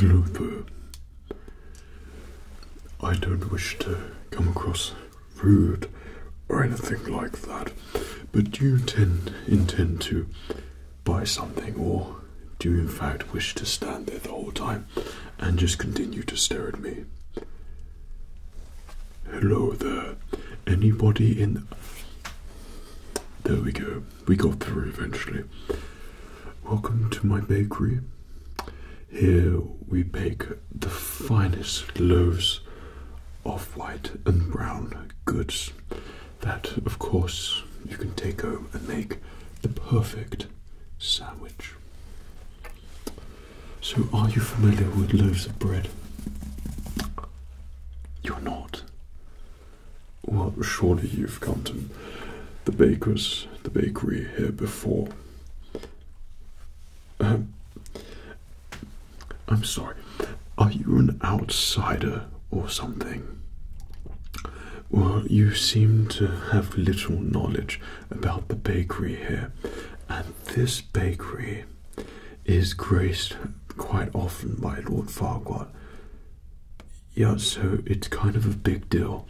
Hello I don't wish to come across rude or anything like that. But do you intend, to buy something, or do you in fact wish to stand there the whole time and just continue to stare at me? Hello there. Anybody in. There we go. We got through eventually. Welcome to my bakery. Here we bake the finest loaves of white and brown goods that, of course, you can take home and make the perfect sandwich. So, are you familiar with loaves of bread? You're not. Well, surely you've come to the baker's, the bakery here before. Um, I'm sorry, are you an outsider or something? Well, you seem to have little knowledge about the bakery here, and this bakery is graced quite often by Lord Farquhar. Yeah, so it's kind of a big deal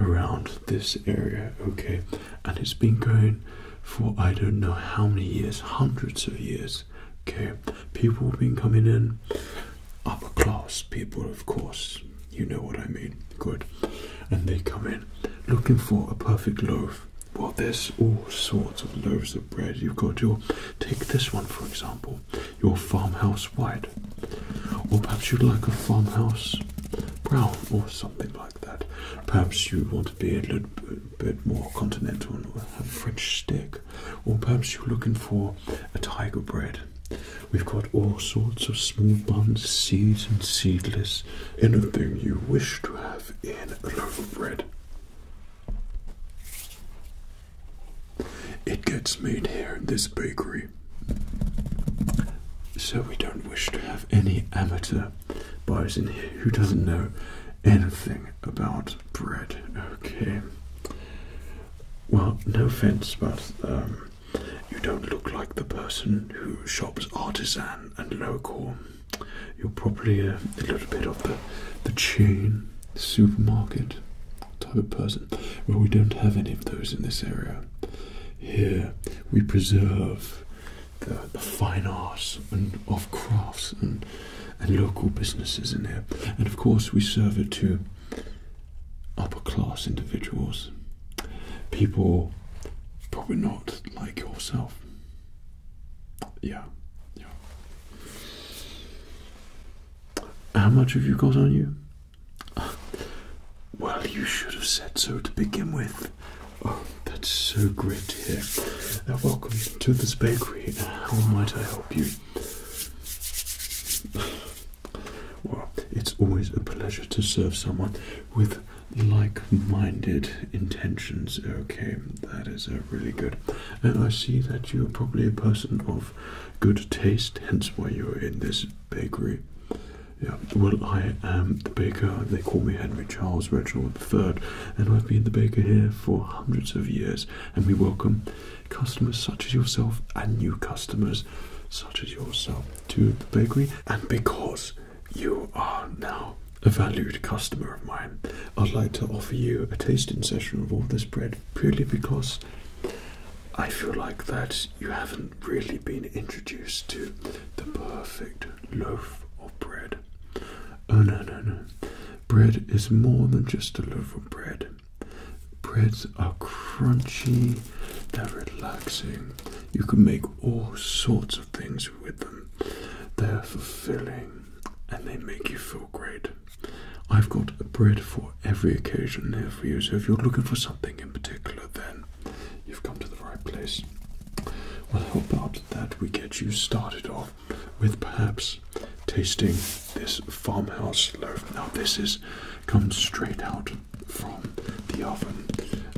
around this area, okay? And it's been going for I don't know how many years, hundreds of years. Okay, people have been coming in, upper class people, of course. You know what I mean. Good. And they come in looking for a perfect loaf. Well, there's all sorts of loaves of bread. You've got your, take this one for example, your farmhouse white. Or perhaps you'd like a farmhouse brown or something like that. Perhaps you want to be a little bit more continental and have a French stick or perhaps you're looking for a tiger bread. We've got all sorts of small buns, seeds, and seedless. Anything you wish to have in a loaf of bread. It gets made here in this bakery. So we don't wish to have any amateur buyers in here who doesn't know anything about bread. Okay. Well, no offense, but um, you don't look like the person who shops artisan and local. You're probably a, little bit of the the chain supermarket type of person. Well, we don't have any of those in this area. Here, we preserve the, the fine arts and of crafts and and local businesses in here. And of course, we serve it to upper class individuals, people probably not like yourself. Yeah, yeah. How much have you got on you? Well, you should have said so to begin with. Oh, that's so great here. hear. Now, welcome to this bakery. How might I help? Well, it's always a pleasure to serve someone with like minded intentions. Okay, that is a uh, really good. And I see that you're probably a person of good taste, hence why you're in this bakery. Yeah, well, I am the baker. They call me Henry Charles Reginald III, and I've been the baker here for hundreds of years and we welcome customers such as yourself and new customers such as yourself to the bakery. And because you are now a valued customer of mine, I'd like to offer you a tasting session of all this bread purely because I feel like that you haven't really been introduced to the perfect loaf of bread Oh, no, no, no. Bread is more than just a loaf of bread. Breads are crunchy, they're relaxing. You can make all sorts of things with them. They're fulfilling and they make you feel great. I've got bread for every occasion here for you, so if you're looking for something in particular, then you've come to the right place. Well, how about that we get you started off with perhaps tasting this farmhouse loaf. Now this is comes straight out from the oven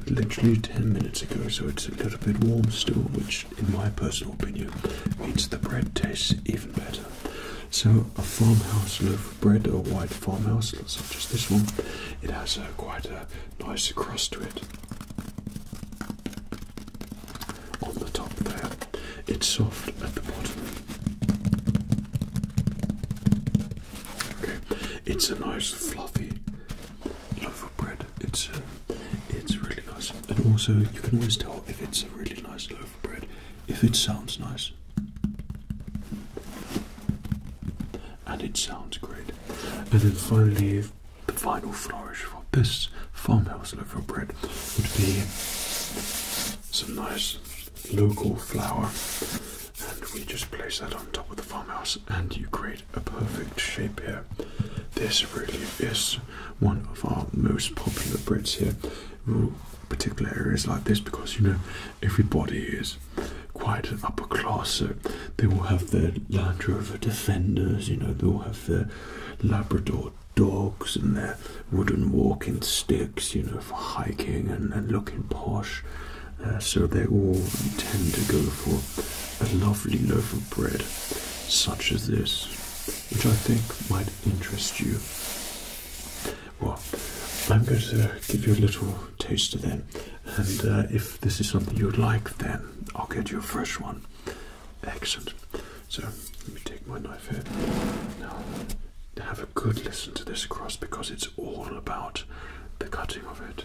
literally 10 minutes ago, so it's a little bit warm still, which in my personal opinion means the bread tastes even better. So a farmhouse loaf of bread, a white farmhouse, loaf, such as this one, it has a, uh, quite a nice crust to it on the top there. It's soft at the bottom. Okay, it's a nice fluffy loaf of bread. It's uh, it's really nice, and also you can always tell if it's a really nice loaf of bread if it sounds nice. And it sounds great. And then finally, the final flourish this farmhouse loaf of bread would be some nice local flour, and we just place that on top of the farmhouse, and you create a perfect shape here. This really is one of our most popular breads here, particular areas like this, because you know everybody is quite upper class, so they will have their Land Rover Defenders, you know, they will have their Labrador dogs and their wooden walking sticks, you know, for hiking and, looking posh. Uh, so they all intend to go for a lovely loaf of bread such as this, which I think might interest you. Well, I'm going to give you a little taste of then, and uh, if this is something you would like, then I'll get you a fresh one. Excellent. So let me take my knife here. Now have a good listen to this cross because it's all about the cutting of it.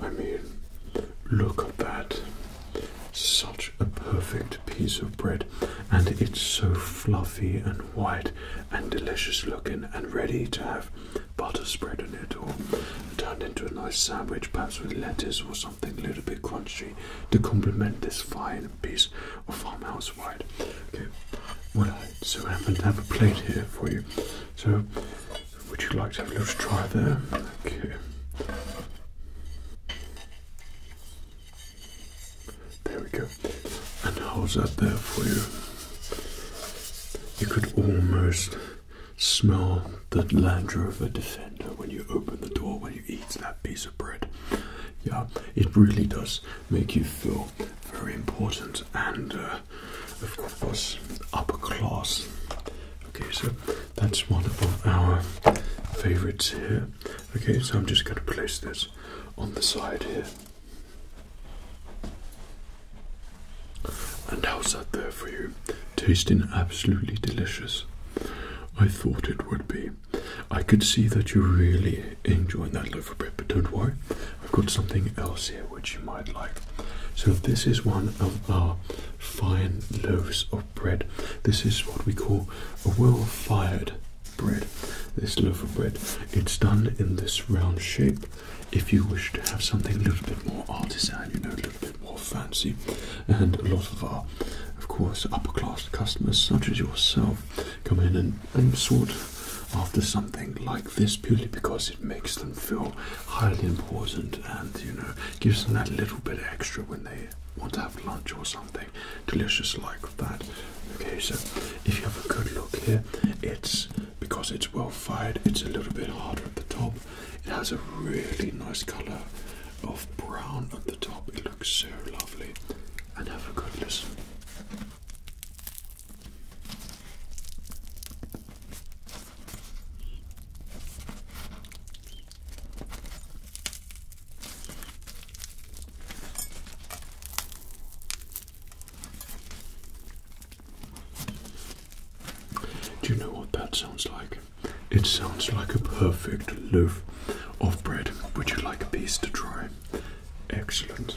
I mean, look at that. Such a perfect piece of bread, and it's so fluffy and white and delicious looking, and ready to have butter spread on it or turned into a nice sandwich, perhaps with lettuce or something a little bit crunchy to complement this fine piece of farmhouse white. Okay, well, I, so I happen to have a plate here for you. So would you like to have a little try there? Okay. There we go. And how's that there for you? You could almost smell the Land Rover Defender when you open the door when you eat that piece of bread. Yeah, it really does make you feel very important and uh, of course, upper class. Okay, so that's one of our favorites here. Okay, so I'm just going to place this on the side here. And how's that there for you? Tasting absolutely delicious. I thought it would be. I could see that you really enjoying that loaf of bread, but don't worry, I've got something else here which you might like. So this is one of our fine loaves of bread. This is what we call a well-fired bread. This loaf of bread. It's done in this round shape. If you wish to have something a little bit more artisan, you know, a little bit more fancy, and a lot of our, of course, upper class customers such as yourself come in and, and sort after something like this purely because it makes them feel highly important and you know gives them that little bit extra when they want to have lunch or something delicious like that. Okay, so if you have a good look here, it's because it's well fired, it's a little bit harder at the top. It has a really nice colour of brown at the top. It looks so lovely. And have a good listen. Do you know what that sounds like? It sounds like a perfect loaf of bread. Would you like a piece to try? Excellent.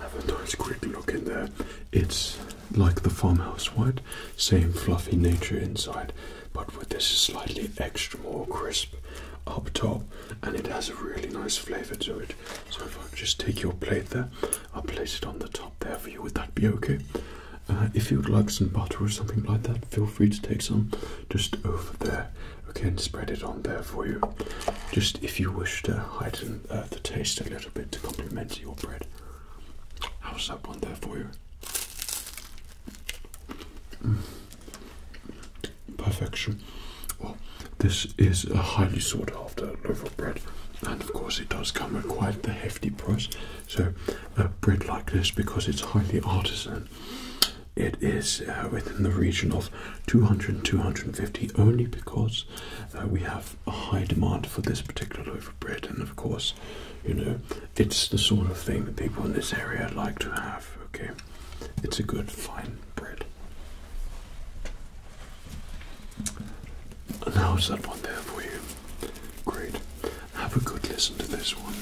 Have a nice quick look in there. It's like the farmhouse white, same fluffy nature inside, but with this slightly extra more crisp up top, and it has a really nice flavour to it. So if I just take your plate there, I'll place it on the top there for you. Would that be okay? Uh, if you would like some butter or something like that, feel free to take some just over there. Okay, and spread it on there for you. Just if you wish to heighten uh, to taste a little bit to complement your bread. How's that one there for you? Mm. Perfection. Well, this is a highly sought after loaf of bread, and of course, it does come at quite a hefty price. So, a bread like this, because it's highly artisan, it is uh, within the region of 200 250 only because uh, we have a high demand for this particular loaf of bread, and of course, you know, it's the sort of thing that people in this area like to have. Okay, it's a good, fine bread. Now how's that one there for you? Great. Have a good listen to this one.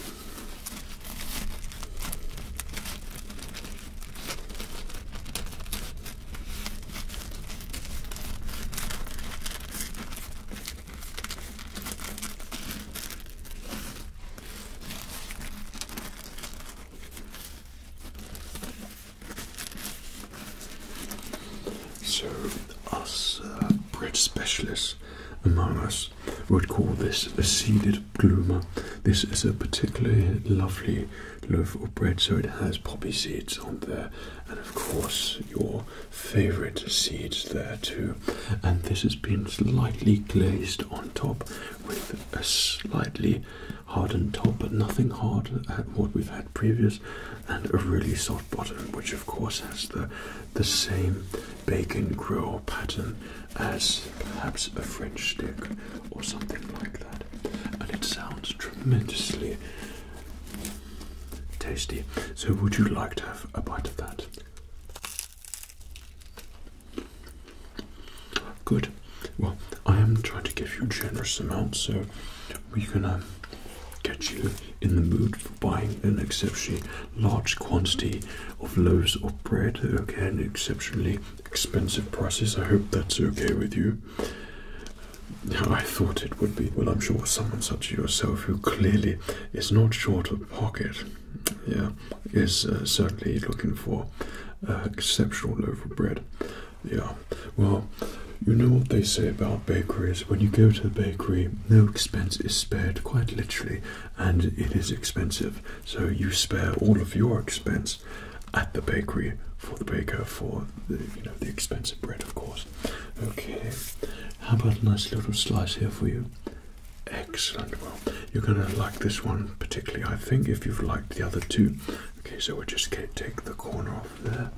So, us uh, bread specialists among us would call this a seeded bloomer. This is a particularly lovely loaf of bread. So it has poppy seeds on there, and of course, your favorite seeds there too. And this has been slightly glazed on top with a slightly hardened top, but nothing hard at what we've had previous, and a really soft bottom, which of course has the, the same bacon grill pattern as perhaps a French stick or something like that. And it sounds tremendously tasty. So, would you like to have a bite of that? Good. Well, I am trying to give you generous amounts, so we can um, get you in the mood for buying an exceptionally large quantity of loaves of bread, okay, an exceptionally expensive price. I hope that's okay with you. I thought it would be. Well, I'm sure someone such as yourself, who clearly is not short of pocket, yeah, is uh, certainly looking for uh, exceptional loaf of bread. Yeah. Well, you know what they say about bakeries. When you go to the bakery, no expense is spared, quite literally, and it is expensive. So you spare all of your expense at the bakery for the baker for the you know the expensive bread, of course. Okay, how about a nice little slice here for you? Excellent. Well, you're gonna like this one particularly, I think, if you've liked the other two. Okay, so we'll just take the corner off there.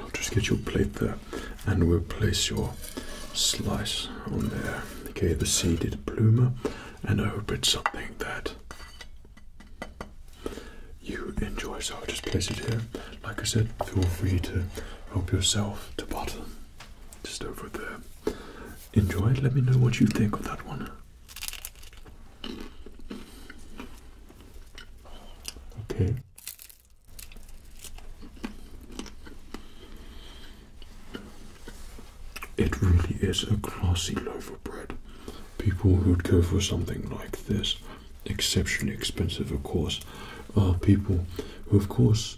I'll just get your plate there and we'll place your slice on there. Okay, the seeded plumer, and I hope it's something that you enjoy. So I'll just place it here. Like I said, feel free to help yourself to butter. Just over there. Enjoy it. Let me know what you think of that one. Okay. It really is a classy loaf of bread. People who'd go for something like this, exceptionally expensive, of course, are people who, of course,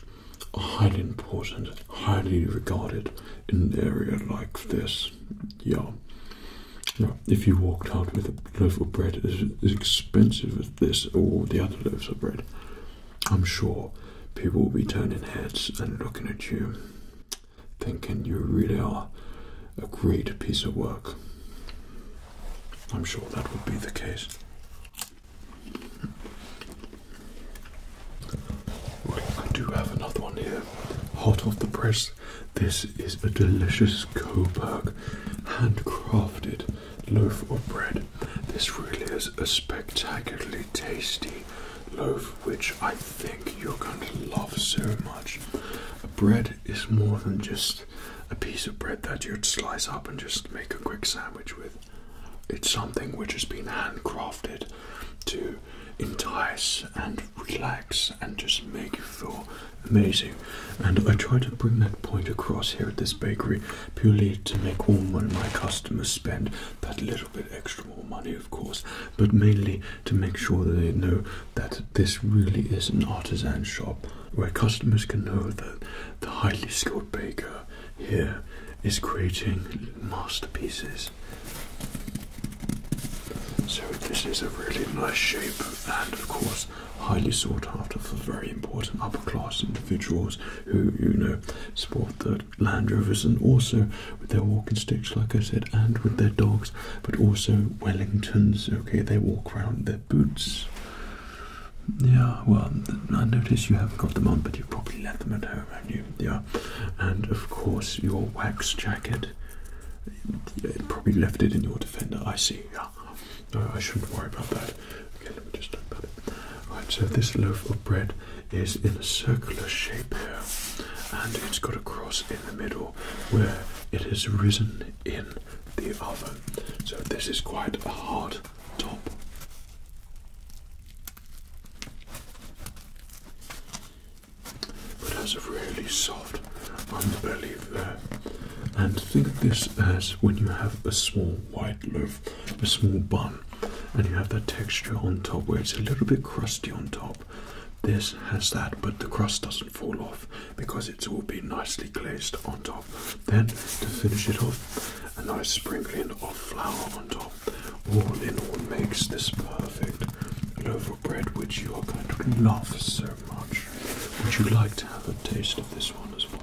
are highly important, highly regarded in an area like this. Yeah. Now, if you walked out with a loaf of bread as expensive as this or the other loaves of bread, I'm sure people will be turning heads and looking at you, thinking you really are a great piece of work. I'm sure that would be the case. I do have another one here. Hot off the press, this is a delicious Coburg, handcrafted loaf of bread. This really is a spectacularly tasty loaf, which I think you're going to love so much. Bread is more than just a piece of bread that you'd slice up and just make a quick sandwich with. It's something which has been handcrafted to entice and relax and just make you feel amazing. And I try to bring that point across here at this bakery purely to make all my, my customers spend that little bit extra more money, of course, but mainly to make sure that they know that this really is an artisan shop where customers can know that the highly skilled baker here is creating masterpieces. So this is a really nice shape and of course highly sought after for very important upper class individuals who, you know, sport the Land Rovers and also with their walking sticks, like I said, and with their dogs, but also Wellingtons, okay, they walk around their boots. Yeah, well, I notice you haven't got them on, but you probably left them at home, haven't you? Yeah, and of course, your wax jacket. Yeah, probably left it in your defender. I see, yeah. I shouldn't worry about that. Okay, let me just talk about it. Right, so this loaf of bread is in a circular shape here, and it's got a cross in the middle where it has risen in the oven. So this is quite a hard top. But has a really soft underbelly there. And think of this as when you have a small white loaf, a small bun, and you have that texture on top where it's a little bit crusty on top. This has that, but the crust doesn't fall off because it's all been nicely glazed on top. Then, to finish it off, a nice sprinkling of flour on top. All in all makes this perfect loaf of bread, which you are going to love so much. Would you like to have a taste of this one as well?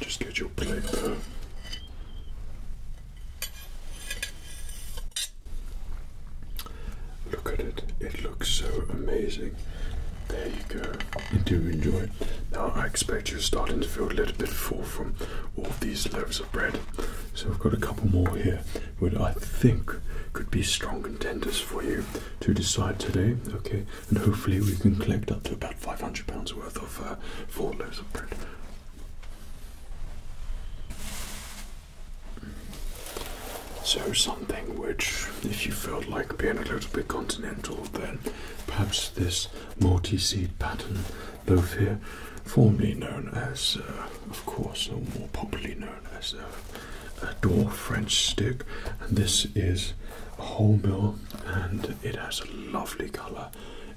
Just get your plate there. Look at it, it looks so amazing. There you go, you do enjoy it. Now I expect you're starting to feel a little bit full from all these loaves of bread. So we have got a couple more here, which I think could be strong contenders for you to decide today. Okay, and hopefully we can collect up to about five hundred pounds worth of uh, four loaves of bread. So something which, if you felt like being a little bit continental, then perhaps this multi-seed pattern loaf here, formerly known as, uh, of course, or more popularly known as uh, a dwarf French stick, and this is a wholemeal, and it has a lovely colour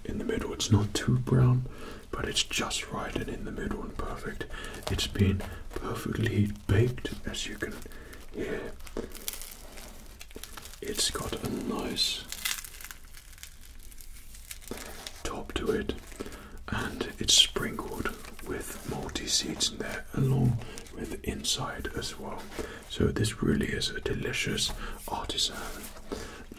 in the middle. It's not too brown, but it's just right and in the middle and perfect. It's been perfectly baked, as you can hear. It's got a nice top to it, and it's sprinkled with multi seeds in there, along with inside as well. So this really is a delicious artisan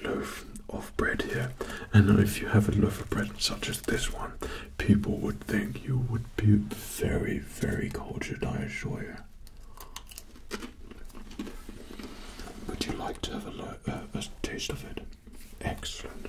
loaf of bread here. And if you have a loaf of bread such as this one, people would think you would be very, very cultured, I assure you. Would you like to have a, uh, taste of it? Excellent.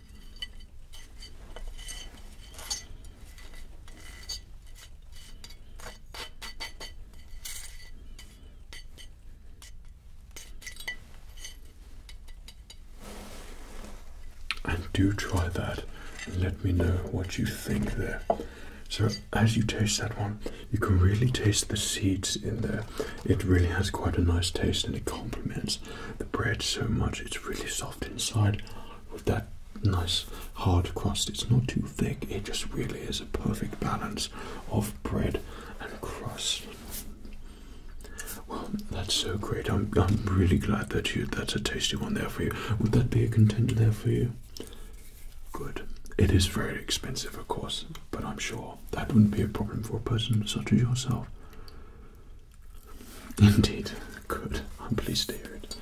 And do try that let me know what you think there. So, as you taste that one, you can really taste the seeds in there. It really has quite a nice taste and it complements the bread so much. It's really soft inside with that nice hard crust. It's not too thick, it just really is a perfect balance of bread and crust. Well, that's so great. I'm I'm really glad that you that's a tasty one there for you. Would that be a contender there for you? Good. It is very expensive, of course, but I'm sure that wouldn't be a problem for a person such as yourself. Indeed. Good. I'm pleased to hear it.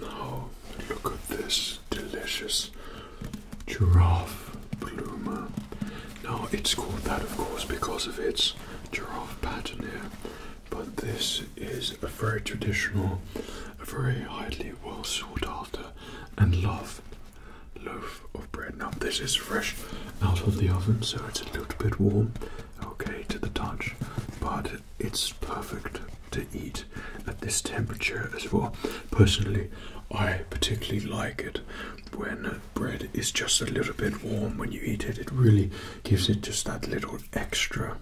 Now, look at this delicious giraffe bloomer. Now, it's called that, of course, because of its giraffe pattern here, but this is a very traditional, a very highly well sought after and loved loaf of bread. Now, this is fresh out of the oven, so it's a little bit warm, okay, to the touch, but it's perfect to eat at this temperature as well. Personally, I particularly like it when bread is just a little bit warm when you eat it. It really gives it just that little extra,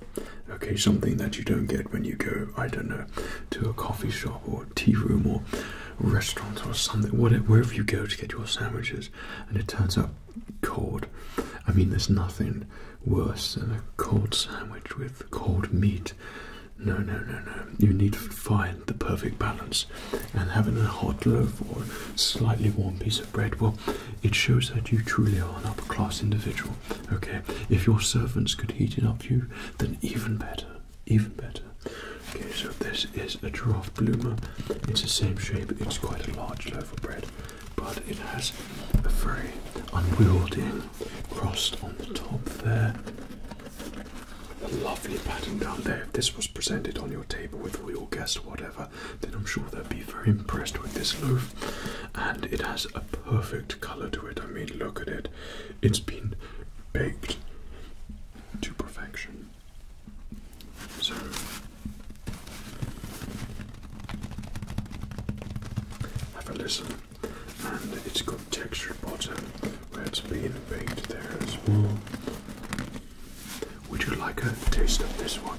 okay, something that you don't get when you go, I don't know, to a coffee shop or tea room or restaurant or something, whatever, wherever you go to get your sandwiches, and it turns out cold. I mean, there's nothing worse than a cold sandwich with cold meat. No, no, no, no. You need to find the perfect balance, and having a hot loaf or a slightly warm piece of bread, well, it shows that you truly are an upper class individual. Okay, if your servants could heat it up for you, then even better even better. Okay, so this is a giraffe bloomer. It's the same shape, it's quite a large loaf of bread, but it has a very unwieldy crust on the top there. A lovely pattern down there. If this was presented on your table with all your guests or whatever, then I'm sure they'd be very impressed with this loaf. And it has a perfect colour to it. I mean, look at it it's been baked to perfection. So have a listen, and it's got textured bottom where it's been baked there as well. Would you like a taste of this one?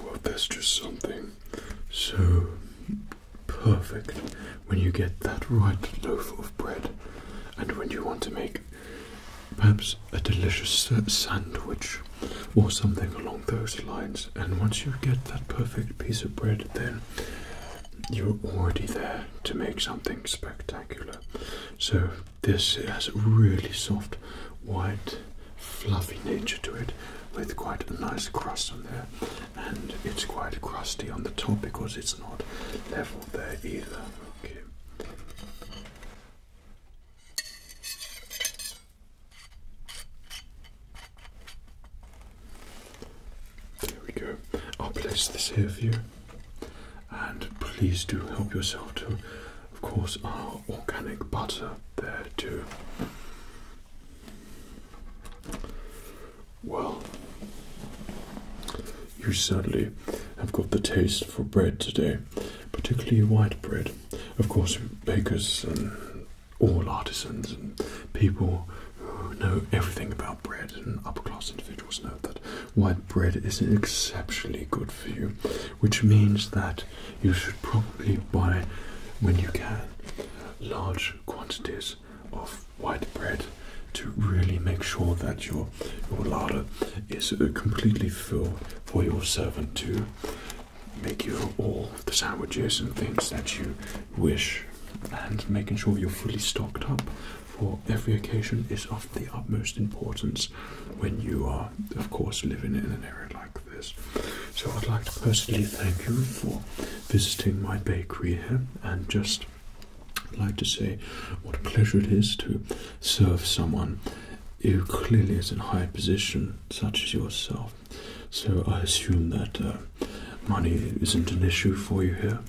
Well, that's just something so perfect when you get that right loaf of bread, and when you want to make perhaps a delicious sandwich or something along those lines. And once you get that perfect piece of bread, then you're already there to make something spectacular. So, this has a really soft, white, fluffy nature to it with quite a nice crust on there, and it's quite crusty on the top because it's not level there either. There we go. I'll place this here for you. And please do help yourself to, of course, our organic butter there too. Well, you certainly have got the taste for bread today, particularly white bread of course, bakers and all artisans and people who know everything about bread and upper class individuals know that white bread is exceptionally good for you, which means that you should probably buy, when you can, large quantities of white bread to really make sure that your, your larder is uh, completely full for your servant to make you all the sandwiches and things that you wish, and making sure you're fully stocked up for every occasion is of the utmost importance when you are, of course, living in an area like this. So, I'd like to personally thank you for visiting my bakery here and just. like to say what a pleasure it is to serve someone you clearly is in high position, such as yourself. So I assume that uh, money isn't an issue for you here.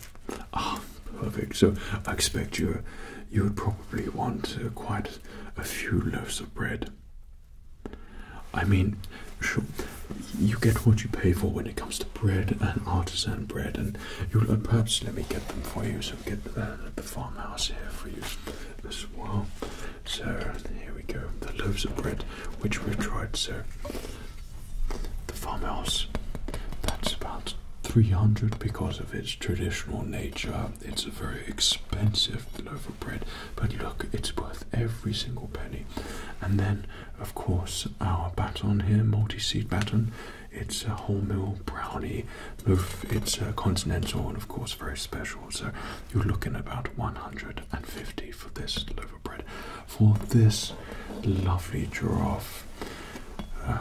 Ah, perfect. So I expect you you would probably want uh, quite a few loaves of bread. I mean, sure, you get what you pay for when it comes to bread and artisan bread, and you'll uh, perhaps let me get them for you. So get them at the farmhouse here for you as well. So here we go, the loaves of bread which we've tried. So the farmhouse, that's about 300 because of its traditional nature. It's a very expensive loaf of bread, but look, it's worth every single penny. And then, of course, our baton here, multi seed baton, it's a wholemeal brownie Louvre, it's uh, continental and of course very special. So you're looking about 150 for this Louvre bread. For this lovely giraffe uh,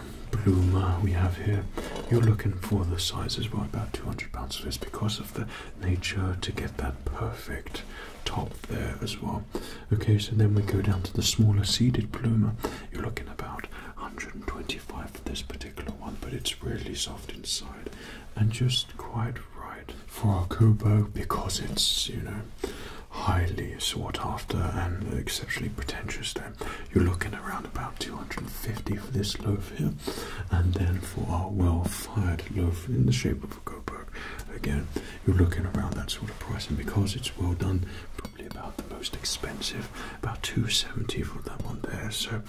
we have here, you're looking for the size as well, about 200 pounds for this because of the nature to get that perfect top there as well. Okay, so then we go down to the smaller seeded bloomer. You're looking about 120 25 for this particular one, but it's really soft inside and just quite right for a Kubo because it's, you know, highly sought after and exceptionally pretentious. Then you're looking around about 250 for this loaf here, and then for our well fired loaf in the shape of a Coburg, again, you're looking around that sort of price. And because it's well done, probably about the most expensive, about 270 for that one there. So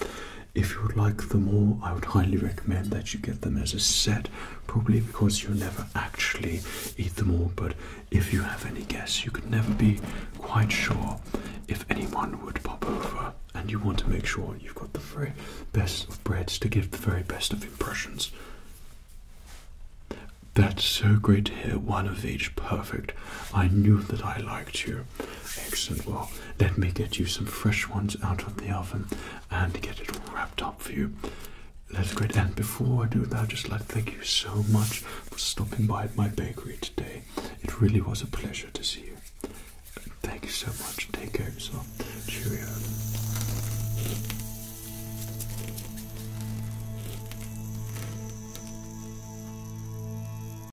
if you would like them all, I would highly recommend that you get them as a set, probably because you'll never actually eat them all. But if you have any guests, you could never be quite sure if anyone would pop over, and you want to make sure you've got the very best of breads to give the very best of impressions. That's so great to hear. One of each, perfect. I knew that I liked you. Excellent. Well, let me get you some fresh ones out of the oven and get it all wrapped up for you. That's great. And before I do that, just like to thank you so much for stopping by at my bakery today. It really was a pleasure to see you. Thank you so much. Take care of yourself. Cheerio.